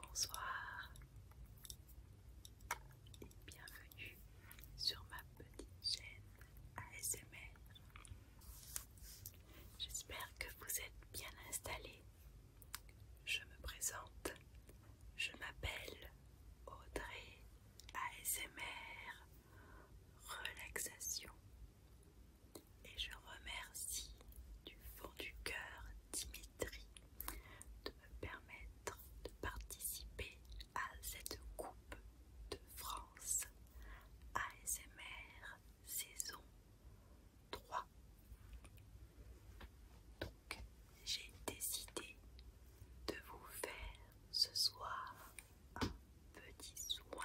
Bonsoir et bienvenue sur ma petite chaîne ASMR. J'espère que vous êtes bien installés. Je me présente, je m'appelle Audrey ASMR relaxation et je remercie du fond du cœur Dimitri de me permettre de participer à cette Coupe de France ASMR saison 3. Donc j'ai décidé de vous faire ce soir un petit soin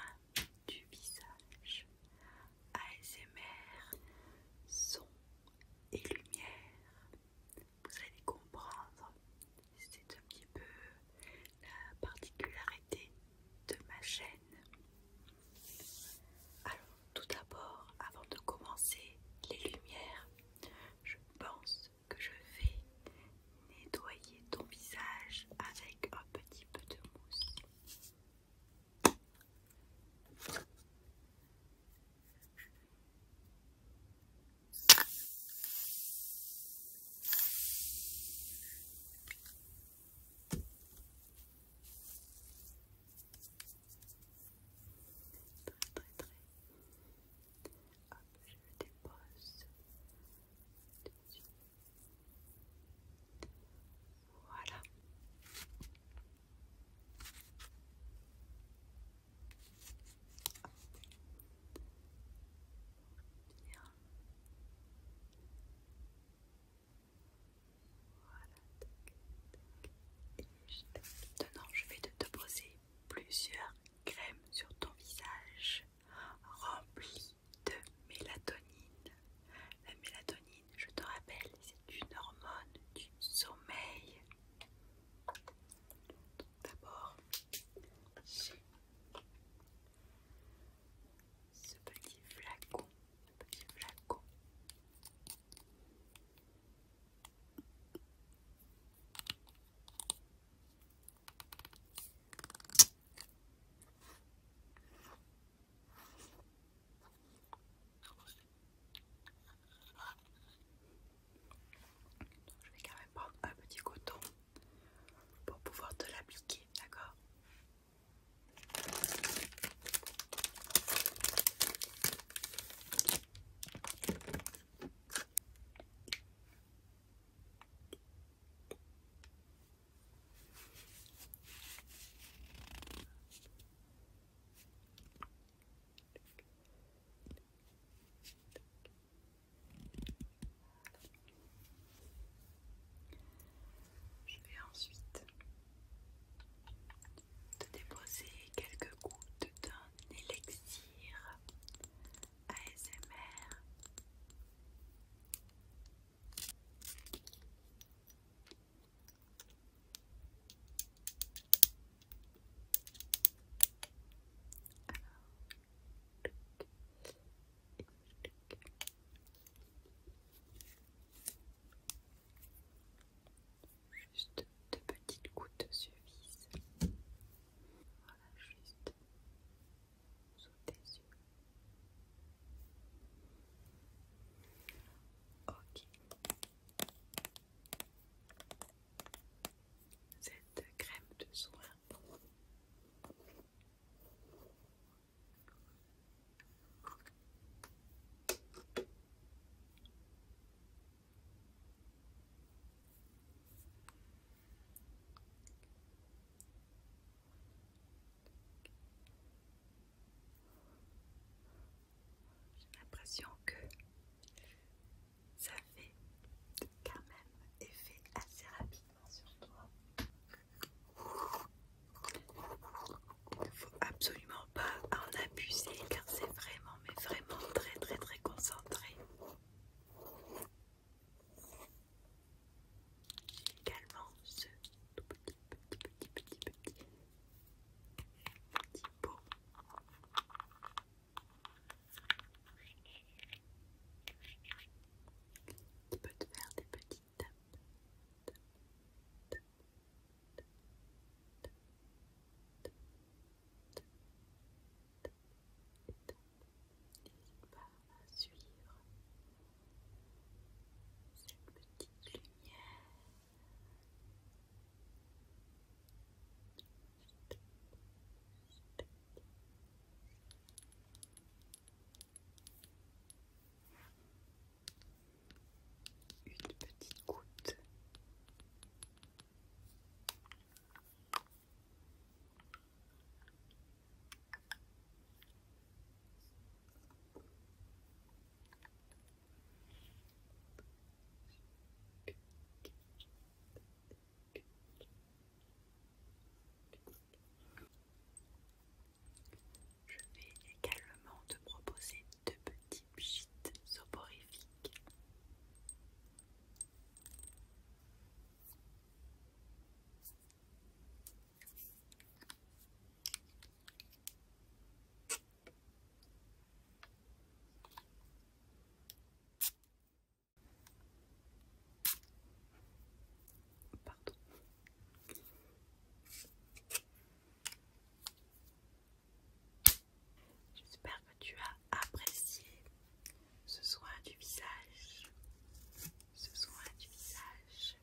du visage. ASMR, son et lumière. Vous allez comprendre, c'est un petit peu la particularité de ma chaîne. Alors, tout d'abord, avant de commencer les lumières, je pense que je vais nettoyer ton visage avec un petit peu de mousse. Hop, je le dépose dessus. Voilà. Bien. Voilà. Et je... Non, je vais te, te poser plusieurs crèmes sur ton visage remplies de mélatonine. La mélatonine, je te rappelle, c'est une hormone du sommeil. D'abord, j'ai ce petit flacon, petit flacon je vais carrément prendre un petit coton pour pouvoir te l'appliquer, d'accord je vais ensuite de déposer quelques gouttes d'un élixir ASMR Juste deux petites gouttes vis. Voilà, juste sous tes yeux. Ok. Cette crème de soin. J'ai l'impression que ça fait quand même effet assez rapidement sur toi. Il ne faut absolument pas en abuser car c'est vraiment, mais vraiment très très très concentré. Également ce tout petit petit petit petit petit petit pot. Qui peut te faire des petits il va suivre cette petite lumière une petite goutte. Je vais également te proposer deux petits pchits soporifiques. Pardon. J'espère que tu as apprécié ce soin du visage. Ce soin du visage.